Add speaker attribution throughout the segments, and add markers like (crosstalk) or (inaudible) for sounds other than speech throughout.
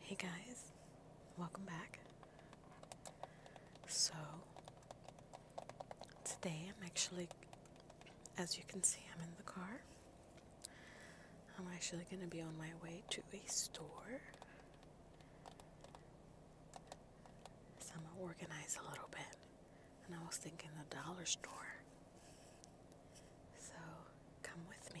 Speaker 1: Hey guys, welcome back. So, today I'm actually, as you can see, I'm in the car. I'm actually going to be on my way to a store. So, I'm going to organize a little bit and I was thinking the dollar store. So come with me.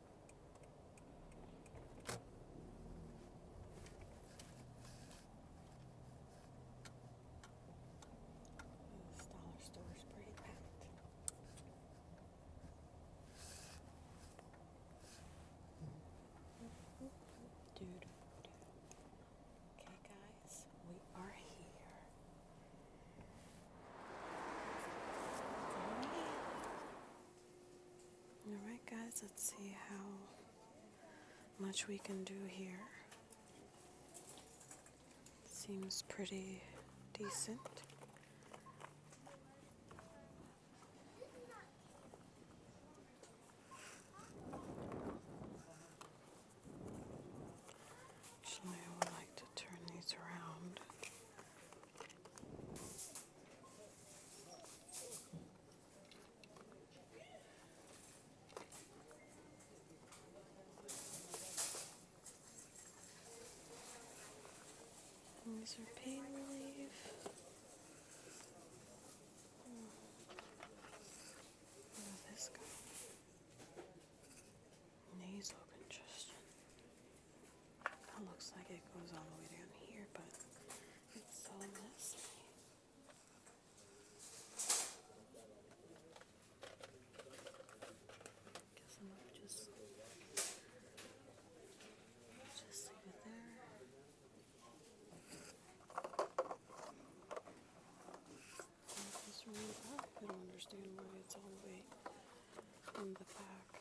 Speaker 1: This dollar store is pretty packed. Dude, dude. Okay, guys, we are here. Right. Alright, guys, let's see how much we can do here. Seems pretty decent. Actually, I would like to turn these around these are pain relief. Oh, this guy. Nasal congestion. That looks like it goes all the way down here, but it's so messy. just there. If this up, I don't understand why it's all the way in the back.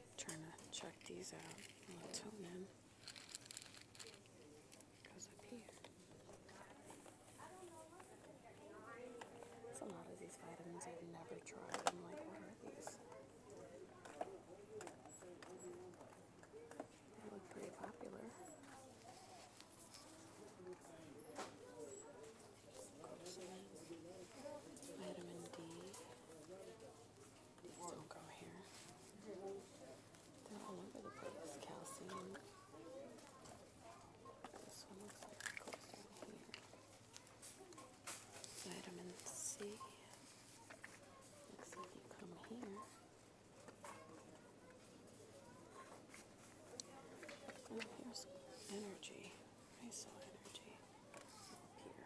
Speaker 1: trying to check these out. Melatonin goes up here. It's of these vitamins I've never tried. I'm like, what are these? They look pretty popular. Vitamin D. These don't grow here. They're all over the place. Calcium. This one looks like it goes down here. Vitamin C. Looks like you come here. Oh, here's energy. I saw energy here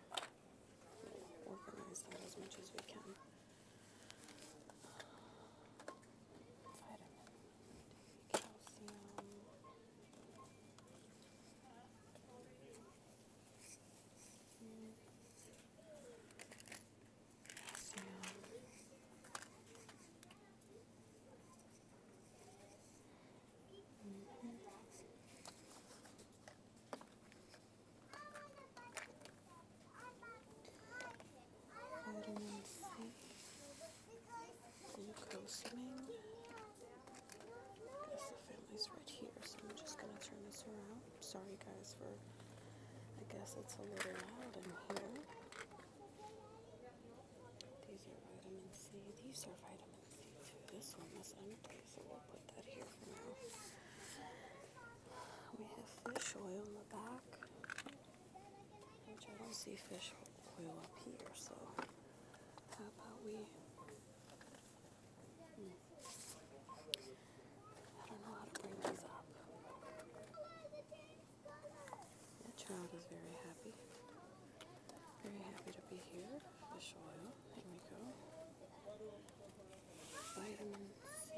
Speaker 1: organize that as much as we can. Um, Vitamin C, glucosamine. I guess the family's right here, so I'm just going to turn this around. Sorry guys for, I guess it's a little loud in here. These are vitamin C. These are vitamin took this one that's empty, so we'll put that here for now. We have fish oil in the back, which I don't see fish oil up here, so how about we... Hmm. I don't know how to bring these up. That child is very happy. Very happy to be here. Fish oil. There we go. Vitamin C.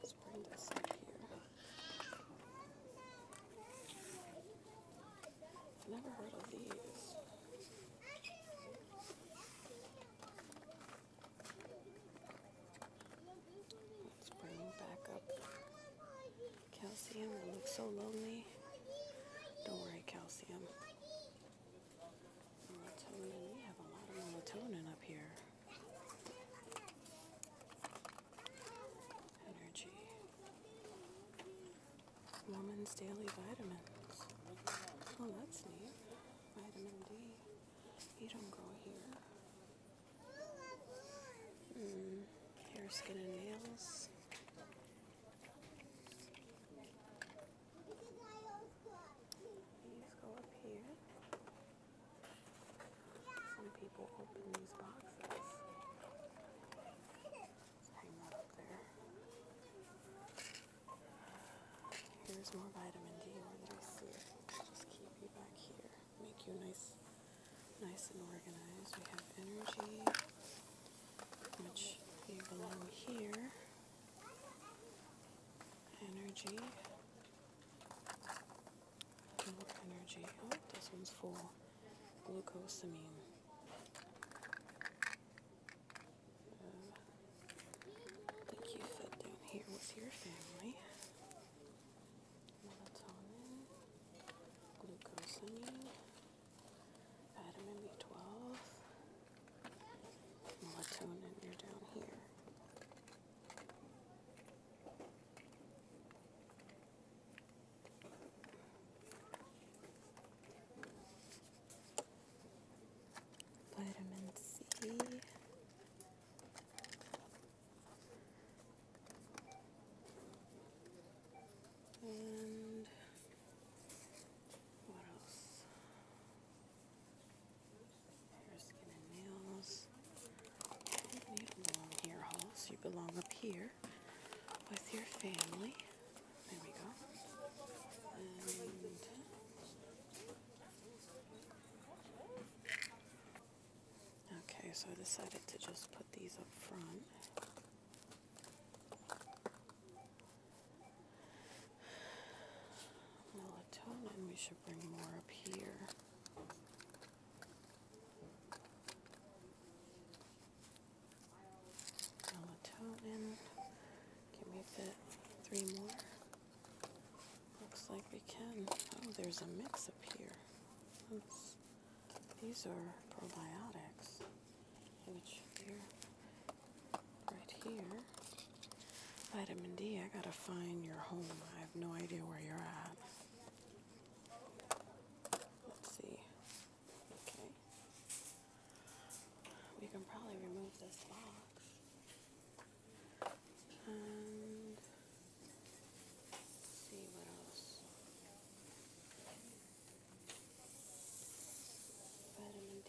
Speaker 1: Let's bring this up here. never heard of these. Let's bring back up calcium. I look so lonely. Don't worry, calcium. Melatonin. We have a lot of melatonin up here. Energy. Woman's daily vitamins. Oh, that's neat. Vitamin D. You don't grow here. Hmm. hair, skin, and nails. These go up here. Some people open these boxes. hang that up there. Here's more vitamin D. Where did see Just keep you back here. Make you nice, nice and organized. We have energy, which you belong here energy, fuel energy. Oh, this one's full. Glucosamine. Uh, think you fit down here with your family. Melatonin, glucosamine. Vitamin B12. Melatonin, you're down here. Vitamin C. And Hair, skin, and nails. You don't need You belong up here with your family. There we go. Okay, so I decided to just put these up front. Melatonin, we should bring more up here. Melatonin, can we fit three more? Looks like we can. Oh, there's a mix up here. These are probiotics right here, vitamin D. I gotta find your home. I have no idea where you're at. Let's see. Okay. We can probably remove this box. And see what else. Vitamin D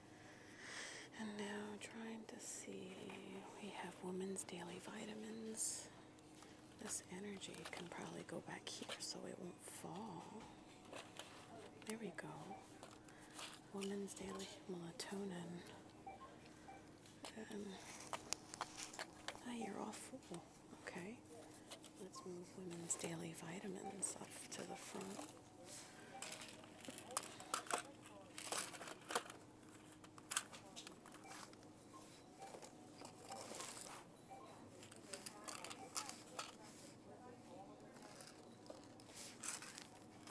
Speaker 1: And now trying to see, we have women's daily vitamins. This energy can probably go back here so it won't fall. There we go. Women's daily melatonin. Um, ah, you're all full. Okay. Let's move women's daily vitamins up to the front.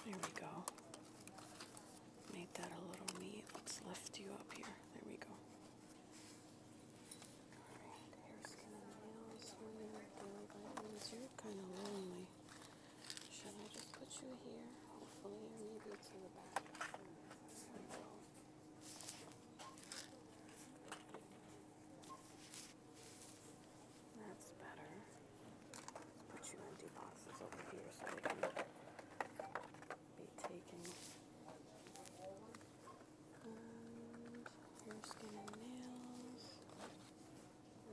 Speaker 1: There we go. Made that a little neat. Let's lift you up here. There we go hair, skin, and nails. Women You're kind of lonely. Should I just put you here, hopefully, or maybe to the back? That's better. put you empty boxes over here so they can be taken. And hair, skin, and nails. Um,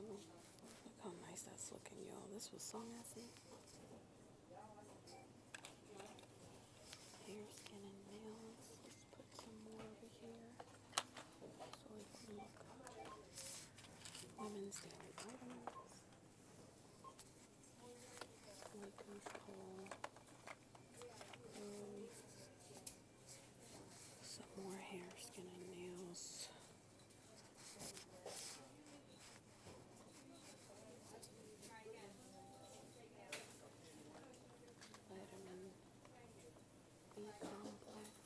Speaker 1: look how nice that's looking, y'all. This was so messy. Hair, skin, and nails. Let's put some more over here so we can look up women's daily items. We control some more hair, skin, and nails. Vitamin B complex,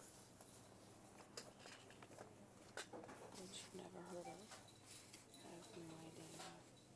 Speaker 1: which never heard of. I have no idea.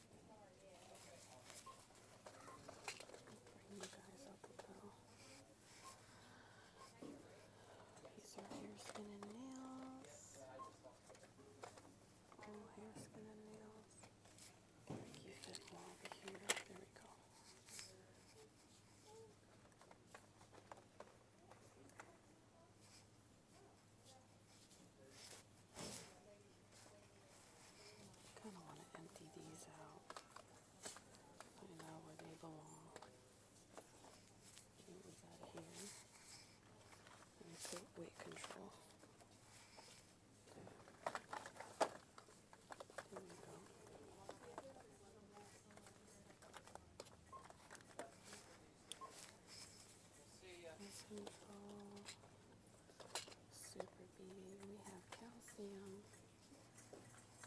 Speaker 1: Bring you guys up a little. These are hair, skin, and nails. All hair, skin, and nails. Keep it over here. There we go. Kind of want to empty these out. I know where they belong. Get these out of here. And put weight control. There. there we go. Weight control. Super B. We have calcium,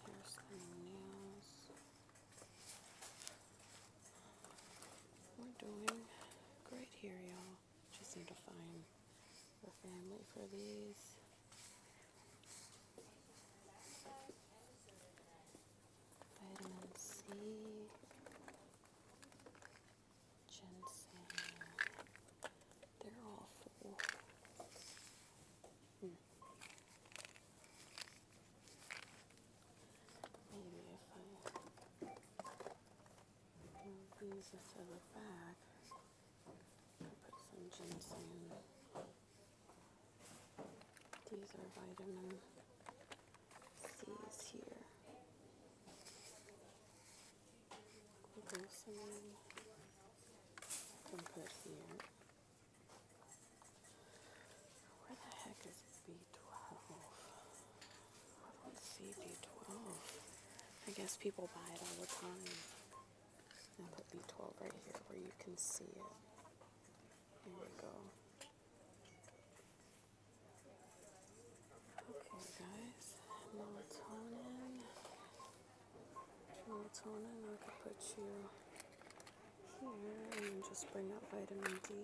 Speaker 1: Here's the nails. We're doing great here, y'all. Just need to find the family for these. Vitamin C ginseng. They're all full. Hmm. Maybe if I move these into the back, put some ginseng. These are vitamin C's here. Where the heck is B12? I don't see B12. I guess people buy it all the time. And put B12 right here where you can see it. Here we go. Okay guys, melatonin. Melatonin, I could put you here and just bring out vitamin D.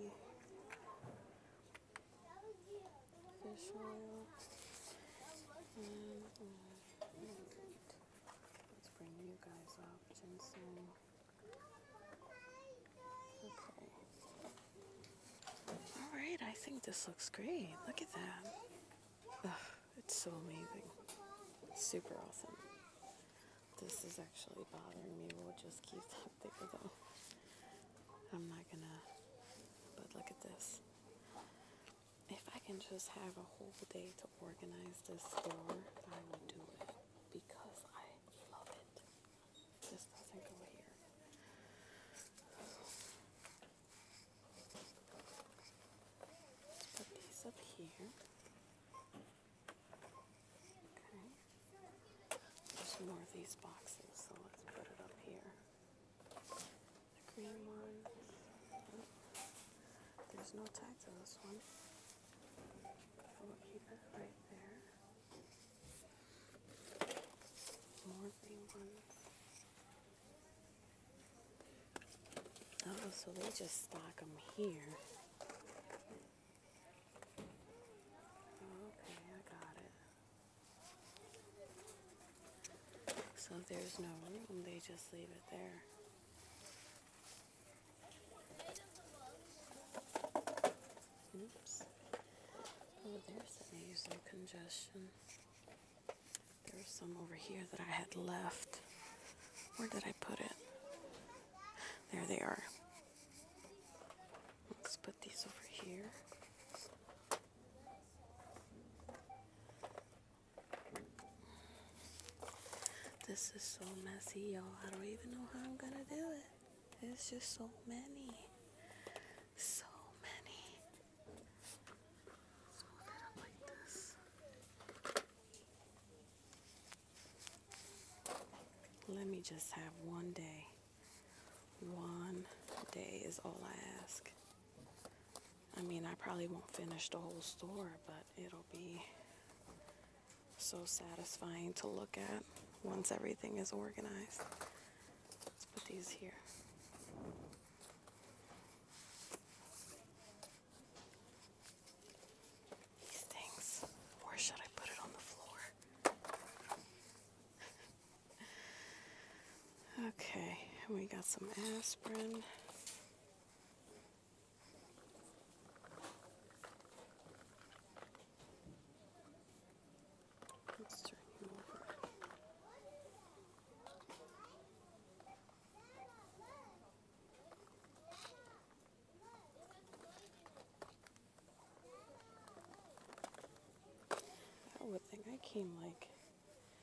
Speaker 1: Fish oil. And, uh, let's bring you guys up. Ginseng. Alright, I think this looks great. Look at that it's so amazing. Super awesome. This is actually bothering me. We'll just keep that (laughs) there though. I'm not gonna, but look at this. If I can just have a whole day to organize this store, I would do it because I love it. This doesn't here. Let's put these up here. Okay. There's more of these boxes, so let's put it up here. The green one. Oh. There's no tag to this one. We'll keep it right there. More green ones. Oh, so they just stock them here. Okay, I got it. So if there's no room, they just leave it there. Oops. Oh, there's the congestion. There's some over here that I had left. Where did I put it? There they are. Let's put these over here. This is so messy, y'all. I don't even know how I'm gonna do it. It's just so many so many. Let's like this. Let me just have one day. One day is all I ask. I mean, I probably won't finish the whole store, but it'll be so satisfying to look at once everything is organized. Let's put these here. These things. Or should I put it on the floor? (laughs) okay, we got some aspirin. Let's turn you I would think I came like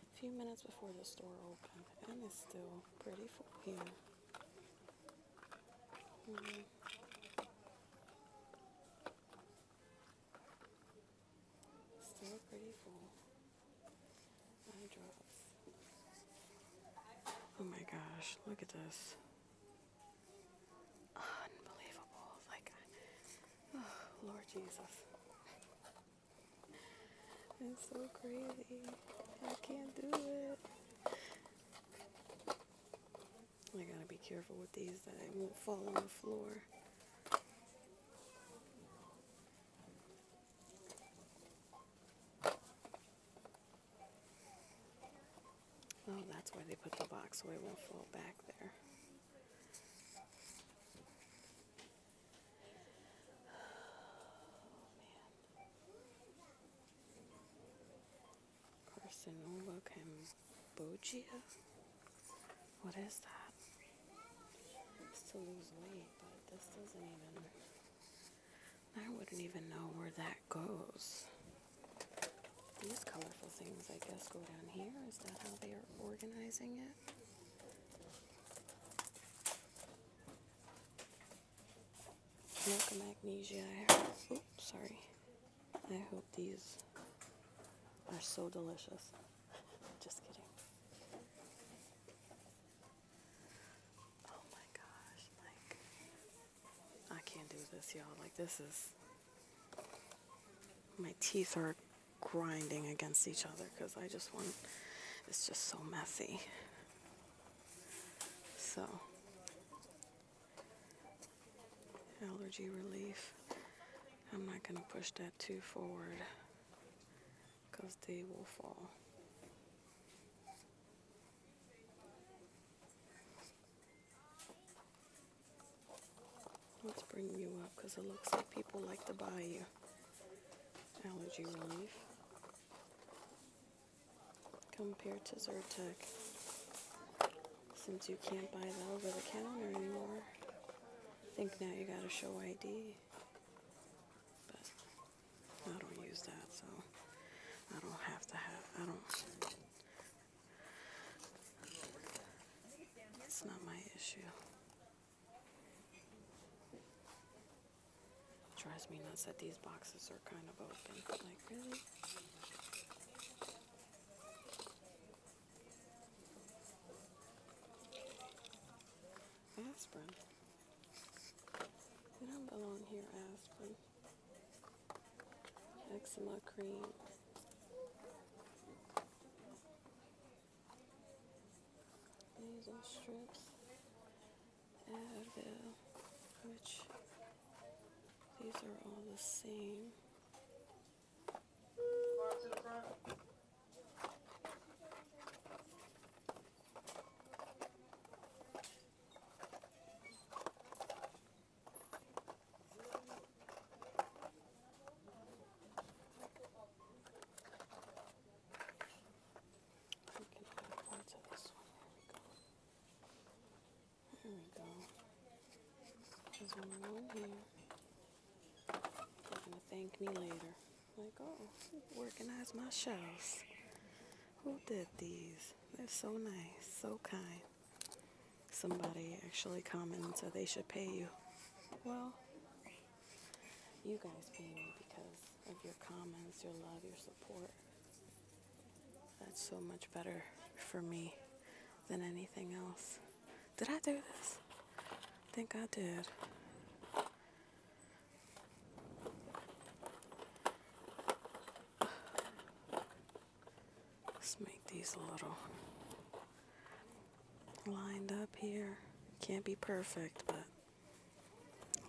Speaker 1: a few minutes before the store opened and it's still pretty full here. Mm -hmm. Still pretty full. Eye drops. Oh my gosh, look at this. Unbelievable. Like, oh, (sighs) Lord Jesus. (laughs) It's so crazy. I can't do it. I gotta be careful with these that I won't fall on the floor. Oh, that's where they put the box so it won't fall back there. Oh, Carcinova cambogia. What is that? to lose weight, but this doesn't even. I wouldn't even know where that goes. These colorful things, I guess, go down here. Is that how they are organizing it? Milk and magnesia. oops, sorry. I hope these are so delicious. (laughs) Just kidding. Oh my gosh, like I can't do this, y'all. Like this is my teeth are grinding against each other because I just want it's just so messy. So allergy relief. I'm not gonna push that too forward because they will fall. Let's bring you up because it looks like people like to buy you allergy relief compared to Zyrtec since you can't buy that over the counter anymore. I think now you gotta show ID but I don't use that, so I don't have to have, I don't, it's not my issue. It drives me nuts that these boxes are kind of open, like really? aspirin. They don't belong here, aspirin. Eczema cream. Nasal strips. Advil, which these are all the same. There we go. There's one right here. You're going to thank me later. Like, oh, organize my shelves. Who did these? They're so nice, so kind. Somebody actually commented so they should pay you. Well, you guys pay me because of your comments, your love, your support. That's so much better for me than anything else. Did I do this? I think I did. Let's make these a little lined up here. Can't be perfect, but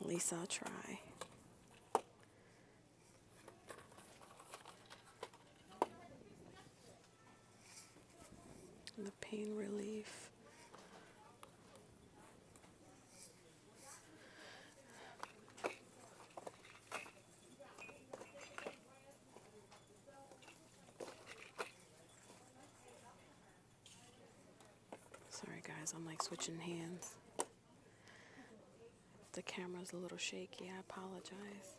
Speaker 1: at least I'll try pain relief. Sorry guys, I'm like switching hands. the camera's a little shaky, I apologize.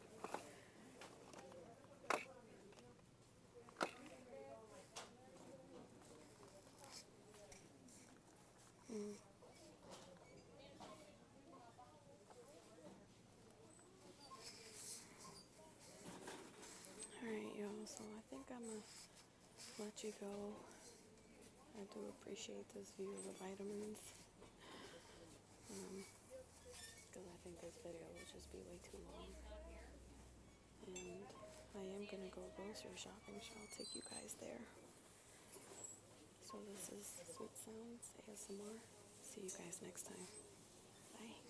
Speaker 1: Alright y'all, so I think I'm gonna let you go. I do appreciate this view of the vitamins. Because um, I think this video will just be way too long and I am going to go grocery shopping, so I'll take you guys there. So this is Sweet Sounds ASMR. See you guys next time. Bye.